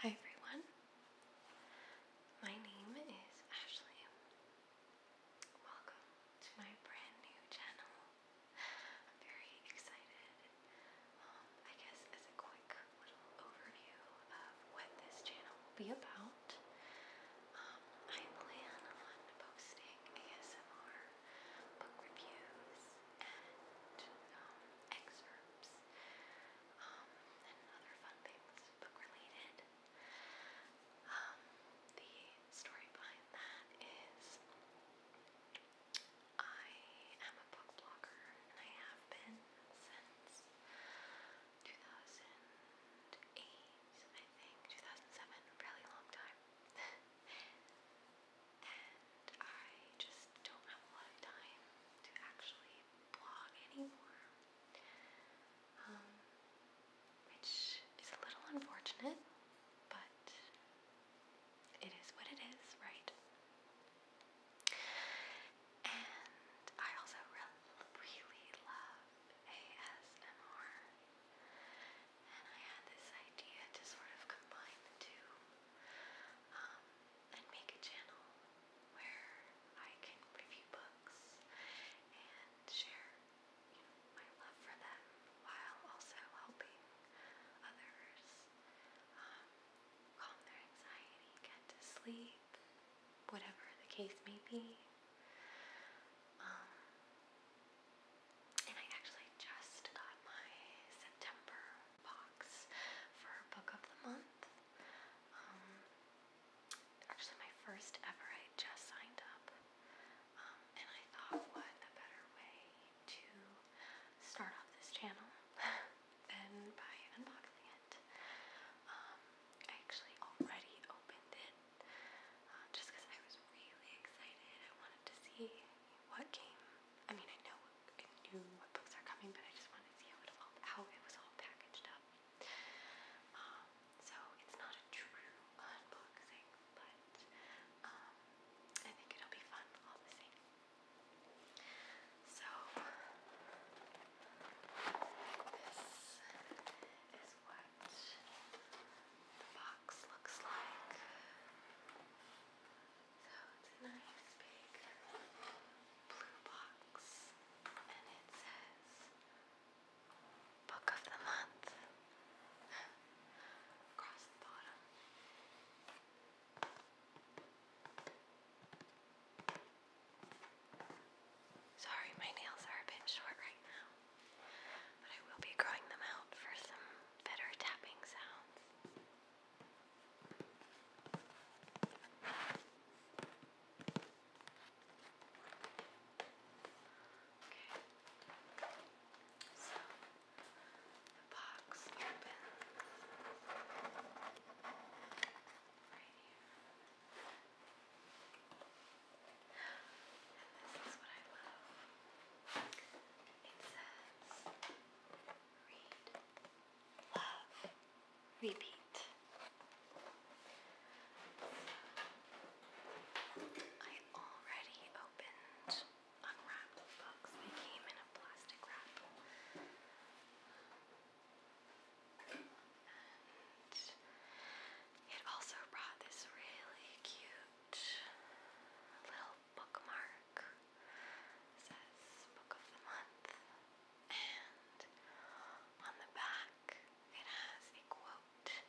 Hi everyone, my name is Ashley. Welcome to my brand new channel. I'm very excited. Um, I guess as a quick little overview of what this channel will be about, um, I plan on posting ASMR book reviews and um, excerpts um, and other fun things book related. Um, the story behind that is I am a book blogger and I have been since 2008, I think, 2007, really long time. and I just don't have a lot of time to actually blog anymore, um, which is a little unfortunate, but it is what it is, right? And I also really, really love ASMR, and I had this idea to sort of combine the two. Um, and make a channel where I can review books and share my love for them while also helping others um, calm their anxiety, get to sleep, whatever the case may be. Um, and I actually just got my September box for book of the month. Um, actually, my first ever, I just signed up, um, and I thought, what a better way to start off this channel than by unboxing it. Um, I actually already opened it uh, just because I was really excited. I wanted to see what came I mean, I know I knew what books are coming, but I just wanted to see how it was all packaged up. Um, so it's not a true unboxing, but um, I think it'll be fun all the same. So this is what the box looks like. So it's a big blue box and it says Book of the Month across the bottom. Sorry, my nails are a bit short right now, but I will be growing them out for some better tapping sounds. So the box opens right here. And this is what I love. It says, read, love, repeat. I already opened, unwrapped the books. They came in a plastic wrap. And it also brought this really cute little bookmark. says Book of the Month. And on the back, it has a quote that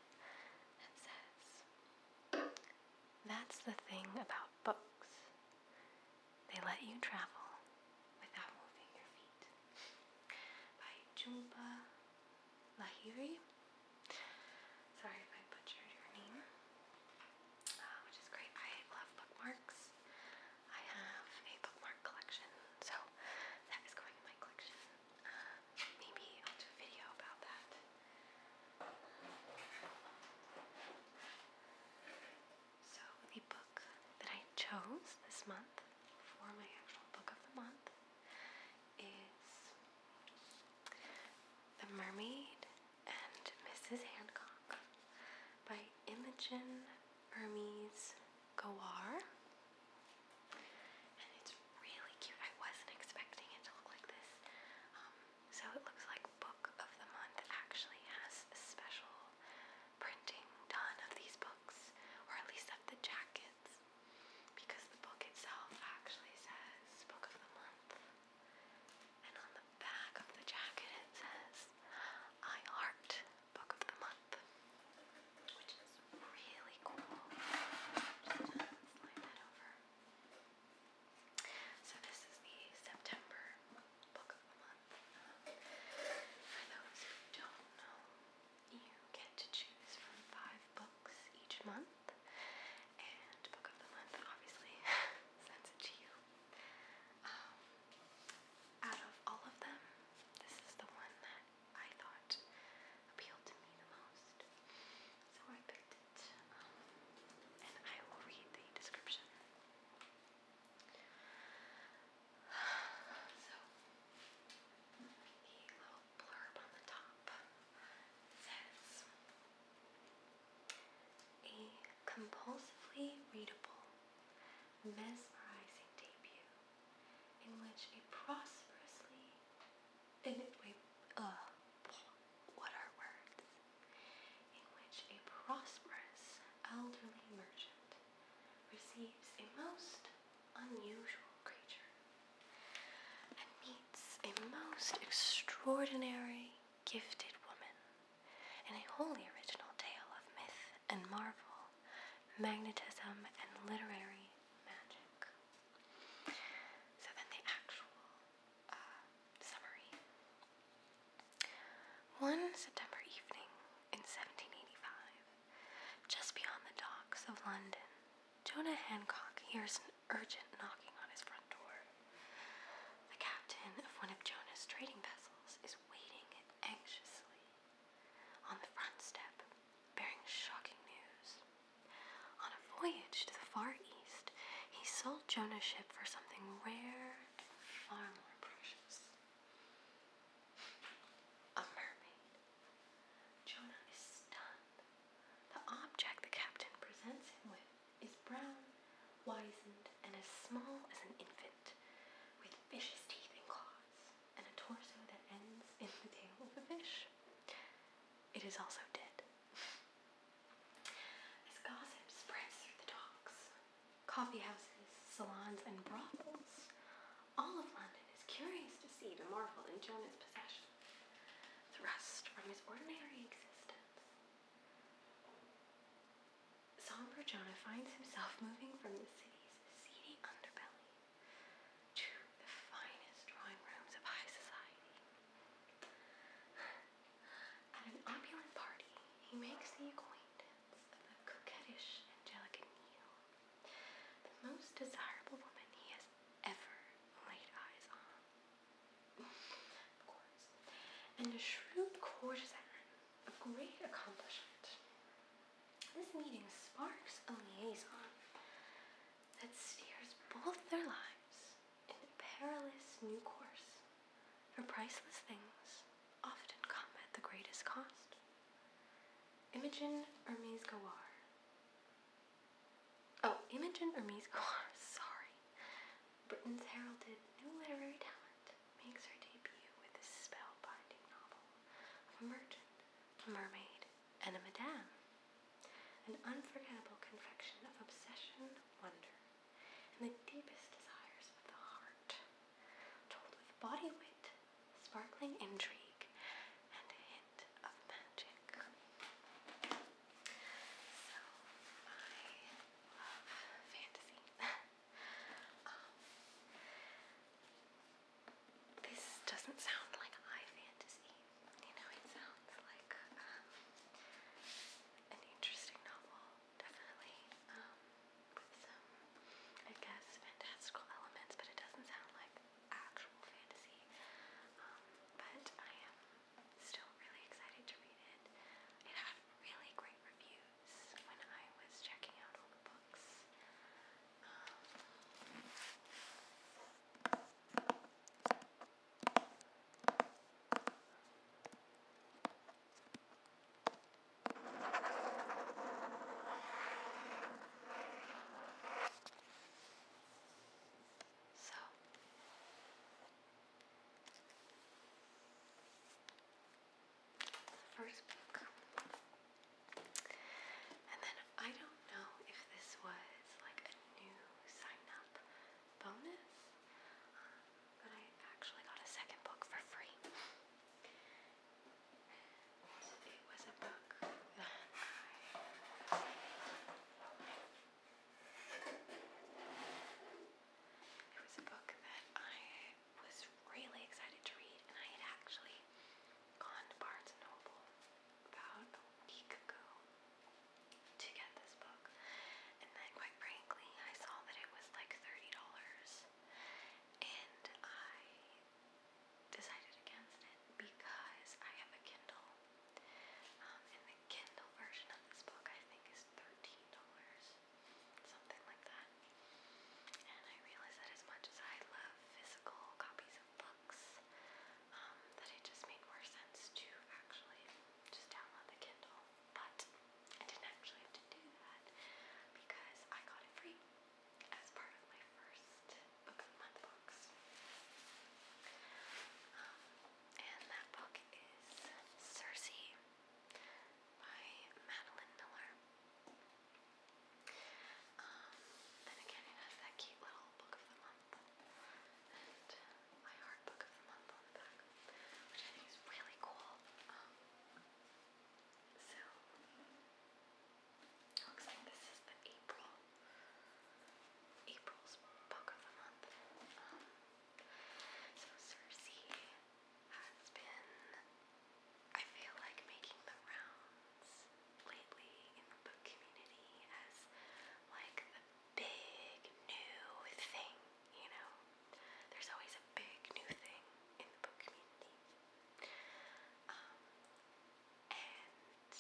says, That's the thing about books. They let you travel without moving your feet. By Jhumpa Lahiri. Sorry if I butchered your name, uh, which is great. I love bookmarks. I have a bookmark collection, so that is going in my collection. Um, maybe I'll do a video about that. So, the book that I chose this month for my actual book of the month is the Mermaid and Mrs. Hancock by Imogen Hermes Gawar. And it's really cute. I wasn't expecting it to look like this. Um, so it looks like Book of the Month actually has special printing done of these books, or at least of the jackets because the book itself actually says Book of the Month. And on the back of the jacket it says I Art Book of the Month, which is really cool. So this is the September Book of the Month. For those who don't know, you get to choose from five books each month. And book of the month obviously sends it to you. Um, out of all of them, this is the one that I thought appealed to me the most. So I picked it. Um, and I will read the description. So, the blurb on the top says a compulsively readable, mesmerizing debut In which a uh, prosperous elderly merchant receives a most unusual creature and meets a most extraordinary, gifted woman in a wholly original tale of myth and marvel, magnetism, and literary magic. So, then the actual uh, summary. One September evening in 1785, just beyond the docks of London, Jonah Hancock hears an urgent knocking on his front door. The captain of one of Jonah's trading vessels is waiting anxiously on the front step, bearing shocking news. On a voyage to the Far East, he sold Jonah's ship for something rare and far more precious a mermaid. Jonah is stunned. The object the captain presents him with is brown, wizened, and as small as an infant, with fish's teeth and claws, and a torso that ends in the tail of a fish. It is also dead. As gossip spreads through the docks, coffee houses, salons, and brothels, all of London is curious to see the marvel in Jonah's possession, thrust from his ordinary existence. Somber Jonah finds himself moving from the city's seedy underbelly to the finest drawing rooms of high society. At an opulent party, he makes the acquaintance of the coquettish Angelica Neal, the most desirable woman he has ever laid eyes on. of course. And a shrewd courtesan of great accomplishment. This meeting sparks a liaison that steers both their lives in a perilous new course. For priceless things often come at the greatest cost. Imogen Hermes Gawar. Oh, Imogen Hermes Gawar, sorry. Britain's heralded new literary talent makes her debut with a spellbinding novel of a merchant, a mermaid, and a madam An unforgettable confection of obsession, wonder, and the deepest desires of the heart told with body weight, sparkling intrigue, and a hint of magic. So, I love fantasy. Um, this doesn't sound like high fantasy. You know, it sounds like um, an interesting novel, definitely. Um, um, I guess, fantastical elements, but it doesn't sound like actual fantasy. Um, but I am still really excited to read it. It had really great reviews when I was checking out all the books. Um, so the first book. And then I don't know if this was like a new sign bonus, but I actually got a second book for free. It was a book that I it was a book that I was really excited to read and I had actually gone to Barnes Noble about a week ago to get this book and then quite frankly I saw that it was like $30 and I decided against it because I have a Kindle. Um, and the Kindle version of this book I think is $13, something like that. And I realized that as much as I love physical copies of books, um, that it just made more sense to actually just download the Kindle. But I didn't actually have to do that because I got it free as part of my first book of the month box. Um, and that book is Circe by Madeline Miller. Um, again, it has that cute little book of the month and my art book of the month on the back, which I think is really cool. Um, so, it looks like this is April, April's book of the month. Um, so Cersei has been, I feel like, making the rounds lately in the book community as like the big new thing you know? There's always a big new thing in the book community. Um, and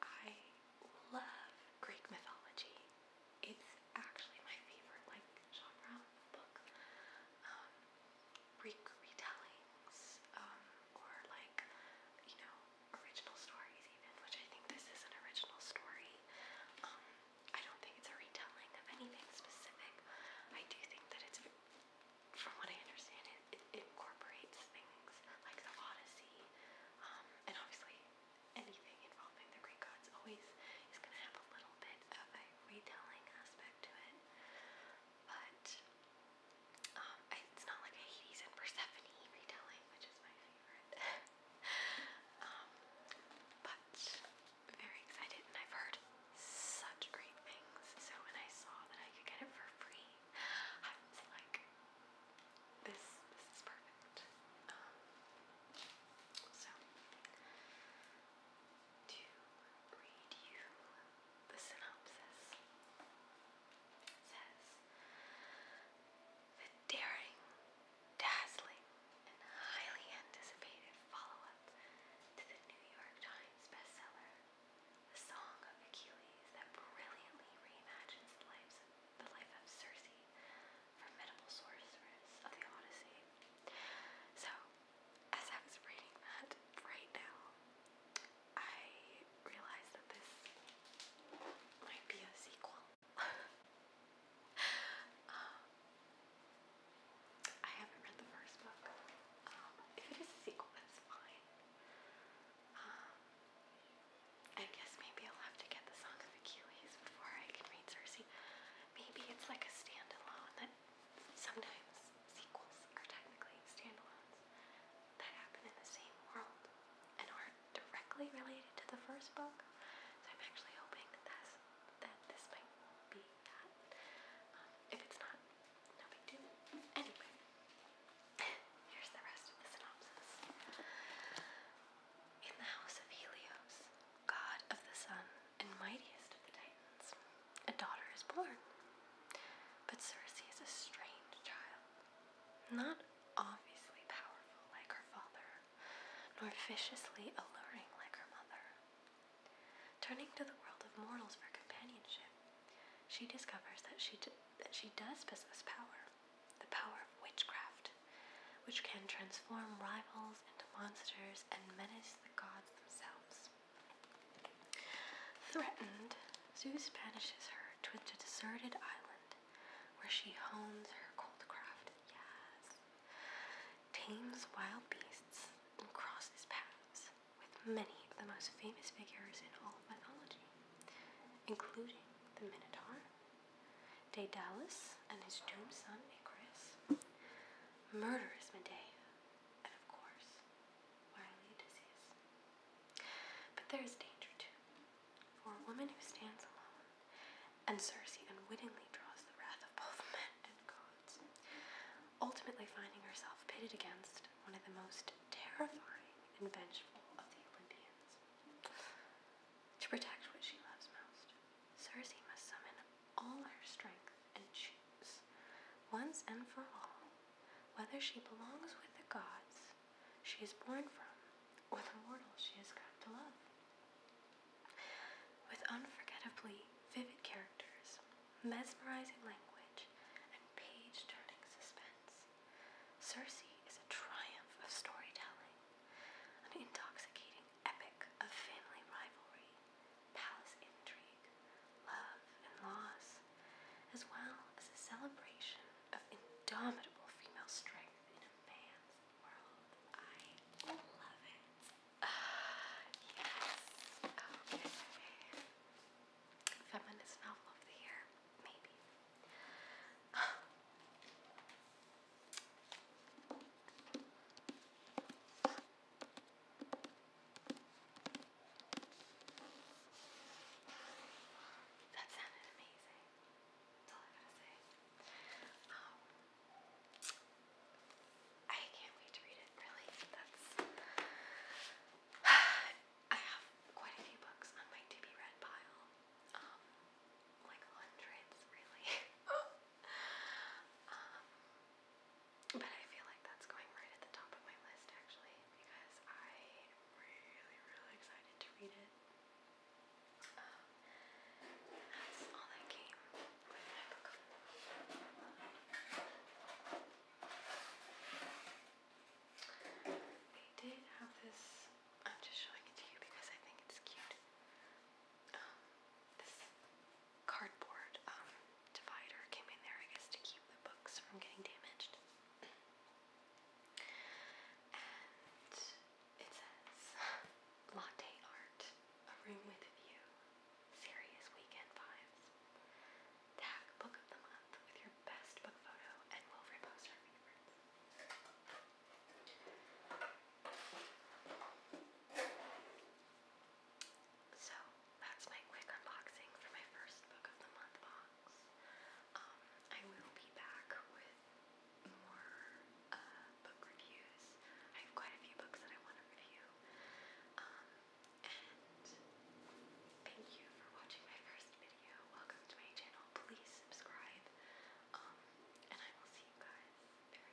I love Greek mythology. It's actually my favorite, like, genre of book. Um, Greek retellings, um, or like, you know, original stories even, which I think this is an original story. I don't think it's a retelling of anything specific. I do think that it's, from what I understand, it, incorporates things like the Odyssey, um, and obviously anything involving the Greek gods always is going to have a little bit of a retelling aspect to it. But um, it's not like a Hades and Persephone retelling, which is my favorite. Um, but very excited and I've heard such great things. So when I saw that I could get it for free, I was like, this, this is perfect. Um, so, to read you the synopsis, says, the daring dazzling, and highly anticipated follow up to the New York Times bestseller, The Song of Achilles, that brilliantly reimagines the, life of Circe, formidable sorceress of the Odyssey. So, as I was reading that right now, I realized that this might be a sequel. Um, I haven't read the first book. Um, if it is a sequel, that's fine. Um, I guess maybe I'll have to get the Song of Achilles before I can read Cersei. Maybe it's like a standalone that sometimes sequels are technically standalones that happen in the same world and are directly related to the first book. So I'm actually hoping that this might be that. Um, if it's not, no big deal. Anyway, here's the rest of the synopsis. In the house of Helios, god of the sun and mightiest of the Titans, a daughter is born. But Cersei is a strange child, not obviously powerful like her father nor viciously alluring like her mother. Turning to the world of mortals for companionship, she discovers that she, that she does possess power, the power of witchcraft, which can transform rivals into monsters and menace the gods themselves. Threatened, Zeus banishes her to a deserted island where she hones her cold craft tames wild beasts and crosses paths with many of the most famous figures in all of mythology, including the Minotaur, Daedalus and his doomed son Icarus, murderous Medea, and of course, wily Odysseus. But there is danger too. For a woman who stands alone, and Circe unwittingly draws the wrath of both men and gods, ultimately finding herself pitted against one of the most terrifying and vengeful of the Olympians. To protect what she loves most, Circe must summon all her strength and choose, once and for all, whether she belongs with the gods she is born from, or the mortal she has come to love. With unforgettably vivid characters, mesmerizing language, and page turning suspense, *Cersei* is a triumph of storytelling, an intoxicating epic of family rivalry, palace intrigue, love and loss, as well as a celebration of indomitable female strength fans Feminist novel of the year, maybe. That sounded amazing. That's um, I can't wait to read it, really. I have quite a few books on my to be read pile. Um, like hundreds, really. Um, but I feel like that's going right at the top of my list, actually, because I am really, really excited to read it. Um, that's all that came with an apricot. They did have this, I'm just showing it to you because I think it's cute. Um, this cardboard um, divider came in there, I guess, to keep the books from getting damaged. And it says latte art, a room with a view, serious weekend vibes. Tag book of the month with your best book photo, and we'll repost our favorites. So that's my quick unboxing for my first book of the month box. Um, I will be back with more uh, book reviews. I have quite a few books that I want to review. Um, and thank you for watching my first video. Welcome to my channel. Please subscribe. Um, and I will see you guys very soon.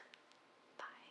Bye.